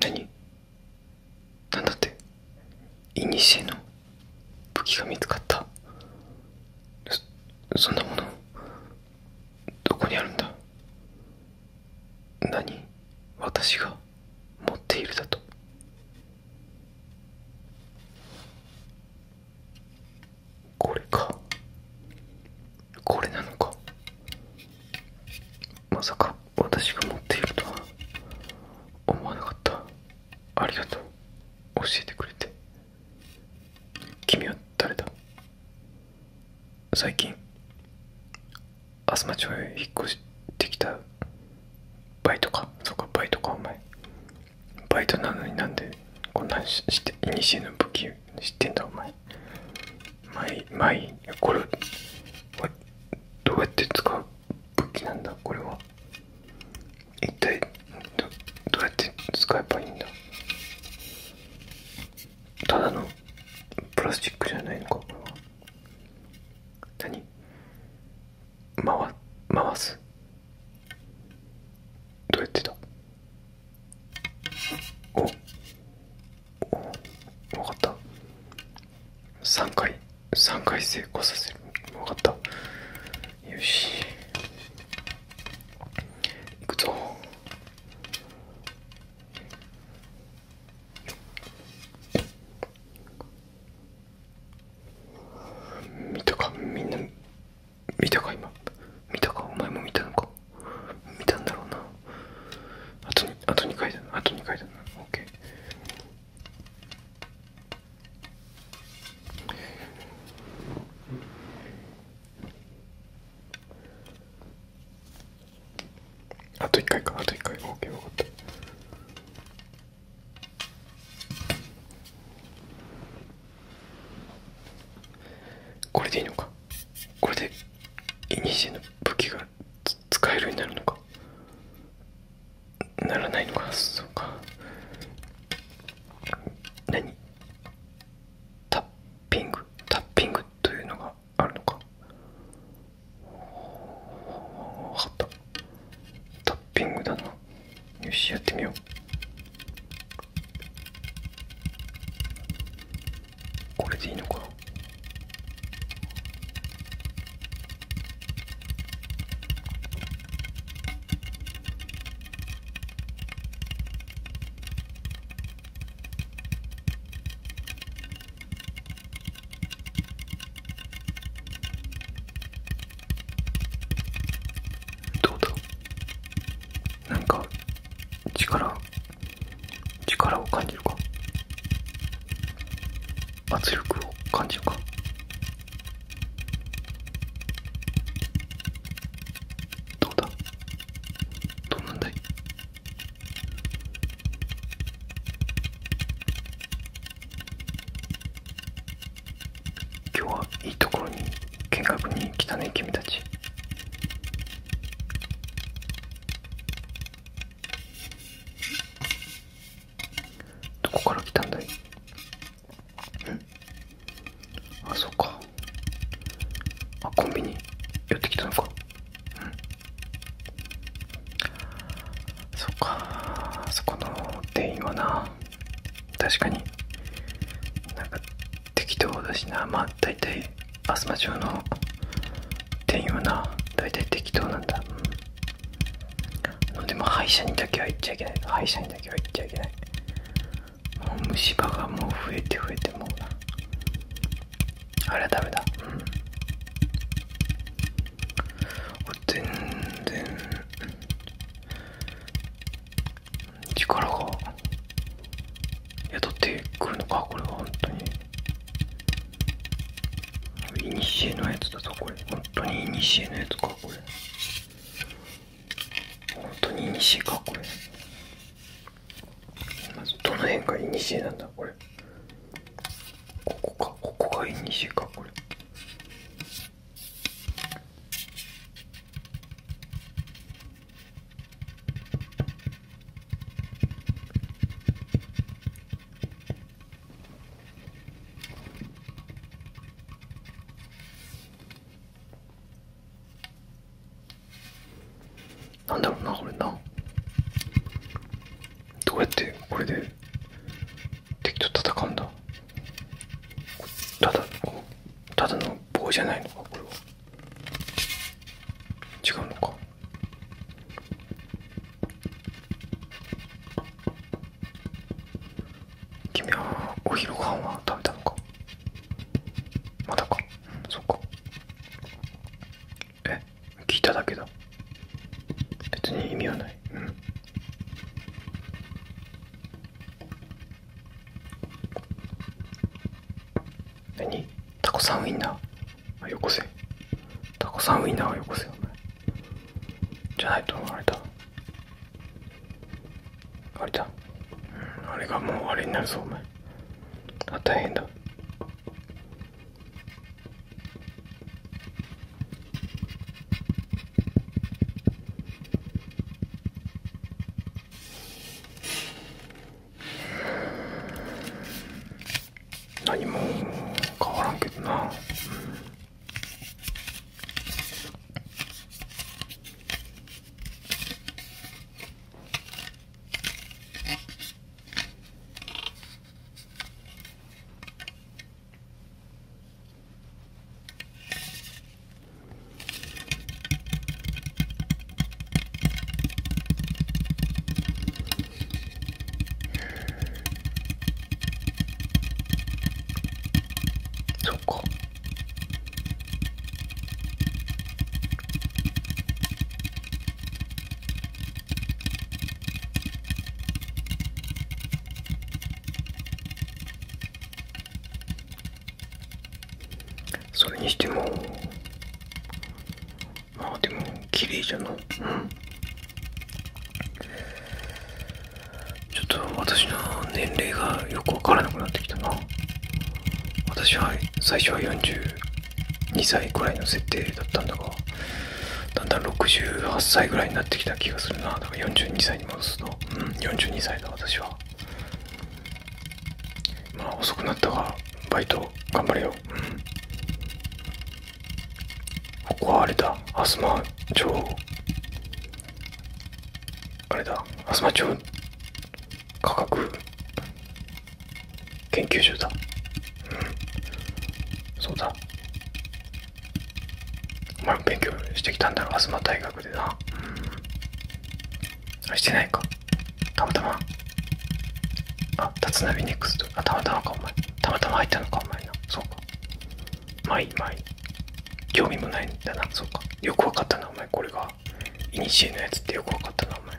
何なんだっていにしえの武器が見つかったそんなものどこにあるんだ何私が持っているだとこれかこれなのかまさか私が持っているとは思わなかったありがとう教えてくれて君は誰だ最近東町へ引っ越してきたバイトかそうかバイトかお前バイトなのになんでこんなにしていにしえの武器知ってんだお前前前これどうやって使う武器なんだこれは一体どうやって使えばいいんだただのプラスチックじゃないのかこれは何回回すどうやってだおお分かった3回3回成功させる分かったよしいくぞ見たかみんな見たか今見たかお前も見たのか見たんだろうなあとあと2回だなあと2回だな OK あと1回かあと1回 OK 分かったこれでいいのかこれでイニシエの武器が使えるようになるのかならないのかそうかなに。タッピングタッピングというのがあるのか分かったタッピングだなよしやってみようこれでいいのかどうだなんか力力を感じるか圧力を感じるかどうだどうなんだい今日はいいところに見学に来たね君たちどこから来たんだいんあそっかあコンビニ寄ってきたのかうんそっかあそこの店員はな確かになんか適当だしなまあ大体あすま町の店員はな大体適当なんだ、でも歯医者にだけは行っちゃいけない歯医者にだけは行っちゃいけないもう虫歯がもう増えて増えてもうなあれダメだうん全然力が雇ってくるのかこれは本当にイニシエのやつだぞこれ本当にイニシエのやつかこれ本当にイニシエかこれまずどの辺がイニシエなんだこれここかここがイニシエかこれなんだろうなこれなどうやってこれで敵と戦うんだただただの棒じゃないのかこれは違うのか君はお昼ご飯は食べたのかまだかそっかえ聞いただけだ別に意味はないうん何タコさんウインナーよこせタコさんウインナーはよこせよお前じゃないとあれだあれだ、うん、あれがもうあれになるぞお前あ大変だ何も変わらんけどな、そっかそれにしてもあでも綺麗じゃないうんちょっと私の年齢がよくわからなくなってきたな私は最初は42歳くらいの設定だったんだがだんだん68歳ぐらいになってきた気がするなだから42歳に戻すとうん42歳だ私はまあ遅くなったがバイト頑張れようんここはあれだ東町あれだ東町科学研究所だうんそうだお前も勉強してきたんだろ東大学でなあ、してないかたまたまあ立浪ネクストあたまたまかお前たまたま入ったのか、お前な。そうか。まいまい興味もないんだな、そうか。よくわかったな、お前。これが、イニシエのやつってよくわかったな、お前。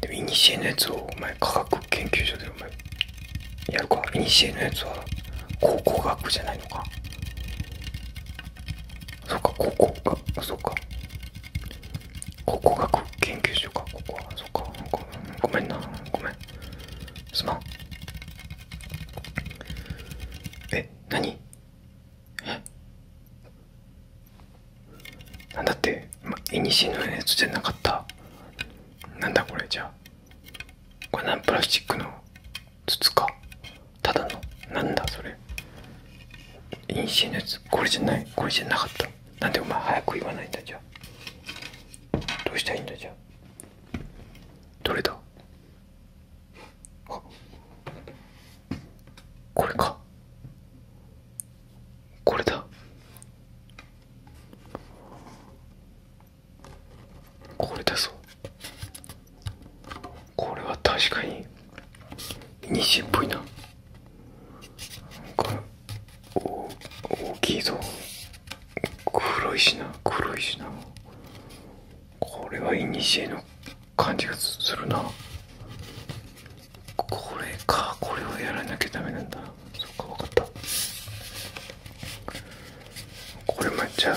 でも、イニシエのやつを、お前、科学研究所で、お前、やるか。イニシエのやつは、考古学じゃないのか。そうか、考古学、そうか。考古学研究所かここはそっかごめんなごめんすまんえ何えなんだっていにしのやつじゃなかったなんだこれじゃこれ何プラスチックの筒かただのなんだそれいにしのやつこれじゃないこれじゃなかったなんでお前早く言わないんだじゃどうしたらいいんだじゃどれだこれかこれだこれだぞこれは確かにニシンっぽいなこれお大きいぞ黒いしな黒いしなこれはイニシエの感じがするなこれかこれをやらなきゃダメなんだそうかわかったこれもじゃ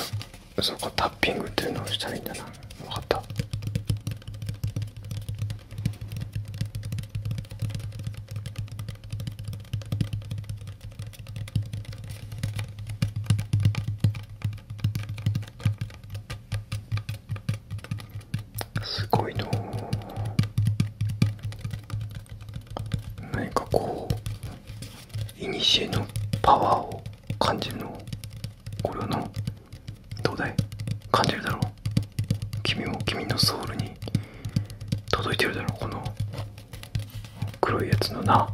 あそっかタッピングってのをしたらいんだなわかったすごいの何かこういにしえのパワーを感じるのこれはなどうだい感じるだろう君も君のソウルに届いてるだろうこの黒いやつのな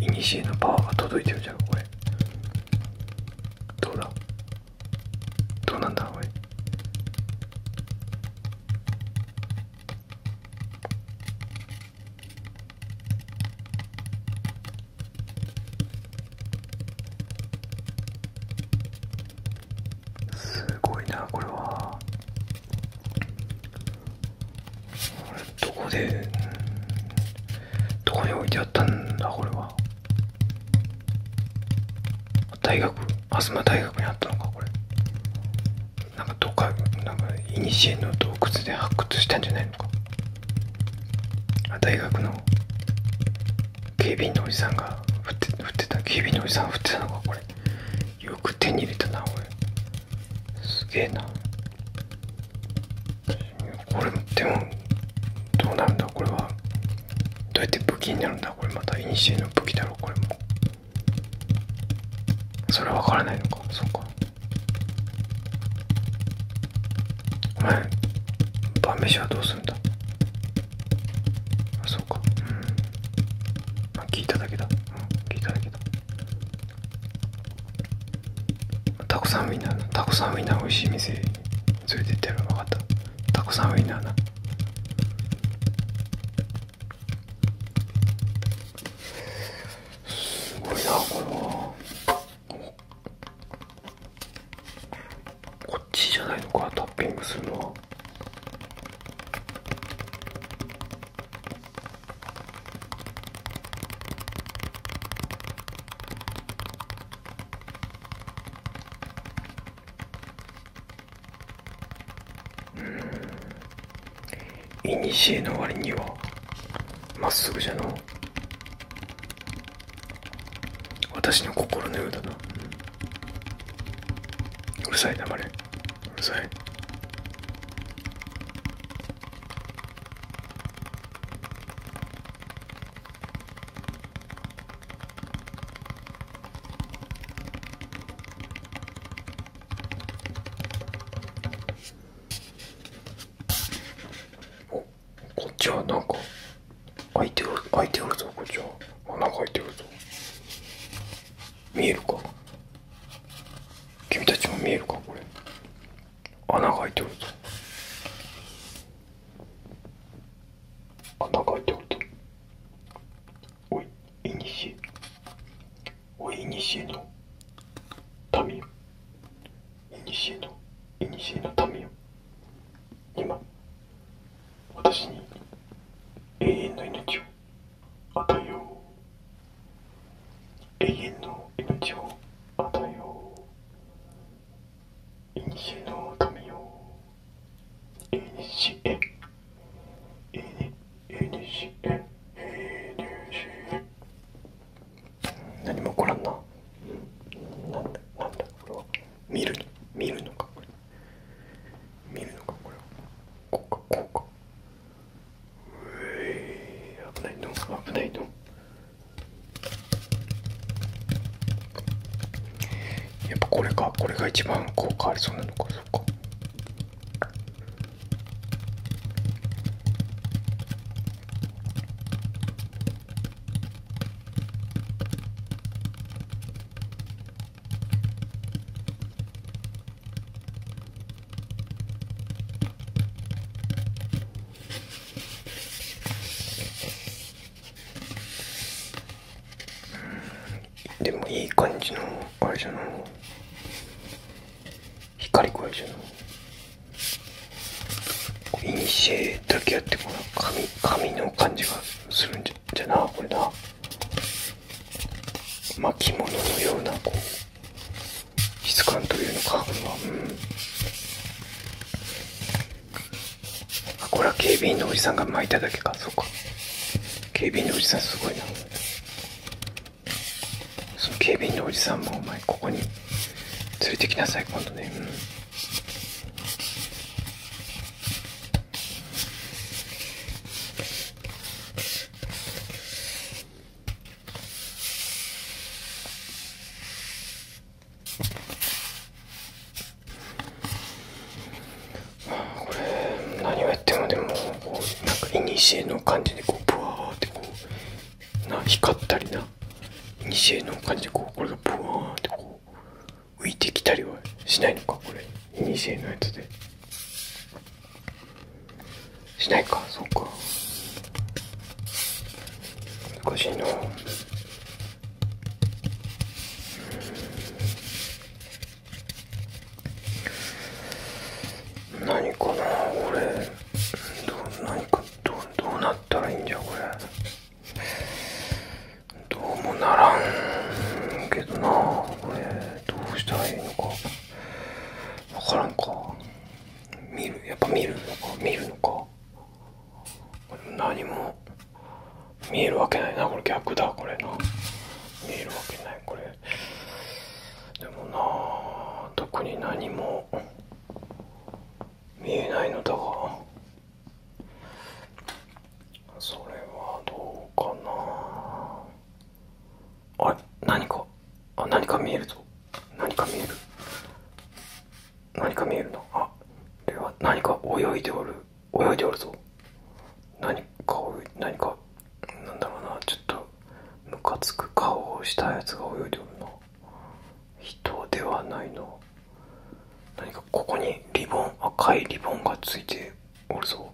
古のパワーが届いてるじゃんこれどうだどうなんだこれすごいなこれはこれどこでどこに置いてあったんだこれは大学東大学にあったのかこれなんかどかなんかいにしえの洞窟で発掘したんじゃないのか大学の警備員のおじさんが振って振ってた警備のおじさんがってたのかこれよく手に入れたな俺すげえなこれでもどうなるんだこれはどうやって武器になるんだこれまたイニシエの武器だろこれもそれはわからないのかそうかお前晩飯はどうするんだあそうかうんまあ聞いただけだうん聞いただけだたくさんウインナーなタコさんウインナー美味しい店連れてってるの分かったたくさんウインナーなすごいなこれはこっちじゃないのかトッピングするのはうんいにしえの割にはまっすぐじゃの私の心のようだな、うるさいな、まれうるさいおこっちはなんか開いてる開いてるぞこっちは穴がいてるぞ見えるか君たちも見えるかこれ穴がいてるぞ穴がいてるぞおいいにしえおいいにしえの民いにしえのいにしえの民今私に永遠の命を与えよう永遠の命を与えよういにしえの神よ永遠にしえ永遠にしえ永遠にしえ何も起こらんななんだなんだこれは見るの見るのかこれ見るのかこれこうかこうかうえ危ないの危ないのやっぱこれかこれが一番効果ありそうなのかそっかうん。でもいい感じのあれじゃない光くらいじゃないいにしえだけあってこの紙紙の感じがするんじゃじゃなこれな巻物のようなこう質感というのかこれはうんあこれは警備員のおじさんが巻いただけかそうか警備員のおじさんすごいなその警備員のおじさんもお前ここに連れてきなさい今度ねうんこれ何をやってもでもこなんかいにしえの感じでこうブワーってこうな光ったりな西への感じでこうこれがブワーンってこう浮いてきたりはしないのかこれ西へのやつでしないかそうか難しいな何かな俺どう何かどどうなったらいいんじゃこれどうもならんけどなこれどうしたらいいのかわからんか見るやっぱ見るのか見るのか何も見えるわけないなこれ逆だこれな見えるわけないこれでもな特に何も見えないのだがそれはどうかなあれ、何かあ何か見えるぞ何か見える何か見えるなあでは何か泳いでおる泳いでおるぞ何か何かなんだろうなちょっとムカつく顔をしたやつが泳いでおるな人ではないの。何かここにリボン赤いリボンがついておるぞ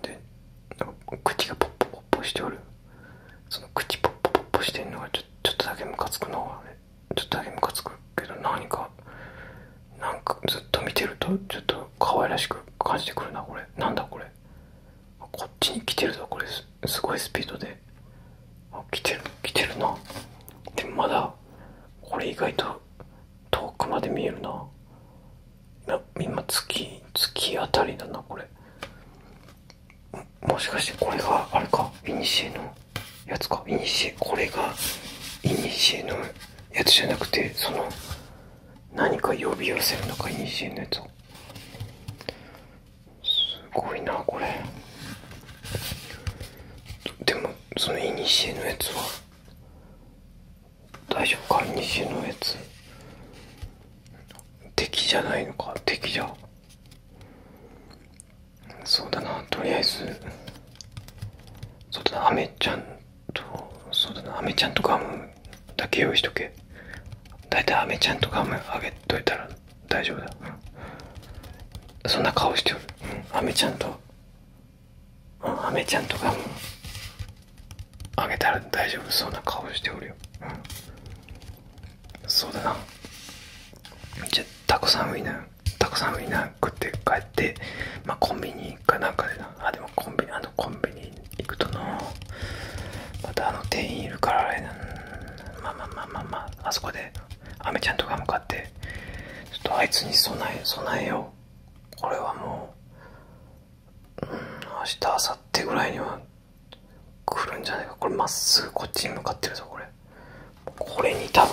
で口がポッポポッポしておるその口ポッポポッポしてんのがちょちょっとだけムカつくのあちょっとだけムカつくけど何かなんかずっと見てるとちょっと可愛らしく感じてくるなこれなんだこれこっちに来てるぞこれですすごいスピードであ来てる来てるなでもまだこれ意外と遠くまで見えるな今月月あたりだなこれもしかしてこれがあれかいにしえのやつかいにしえこれがいにしえのやつじゃなくてその何か呼び寄せるのかいにしえのやつをすごいなこれでもそのいにしえのやつは大丈夫かいにしえのやつ敵じゃないのか敵じゃそうだなとりあえずそうだなあめちゃんとそうだなあめちゃんとか。ムだけ用意しとけだいたいアメちゃんとかもあげといたら大丈夫だ、そんな顔しておる、うん、アメちゃんと、うん、アメちゃんとかも。あげたら大丈夫そんな顔しておるよ、うん、そうだなめっちゃたくさんウインナーたくさんウインナー食って帰ってまあコンビニかなんかでなあでもコンビニあのコンビニ行くとなまたあの店員いるからあれなまあまあまあまあまああそこでアメちゃんとか向かってちょっとあいつに備え備えよこれはもう、うん、明日明後日ぐらいには来るんじゃないかこれまっすぐこっちに向かってるぞこれこれに多分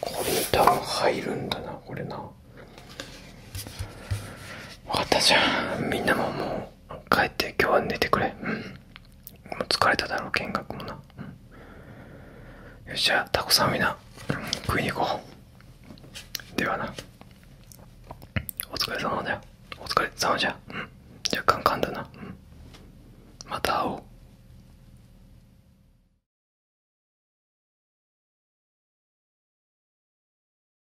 これに多分入るんだなこれな分かったじゃんみんなももう帰って今日は寝てくれうんもう疲れただろう見学もな、よっしゃタコさんみんな、食いに行こうではなお疲れ様だよお疲れ様じゃうんじゃあカンカンだなまた会おう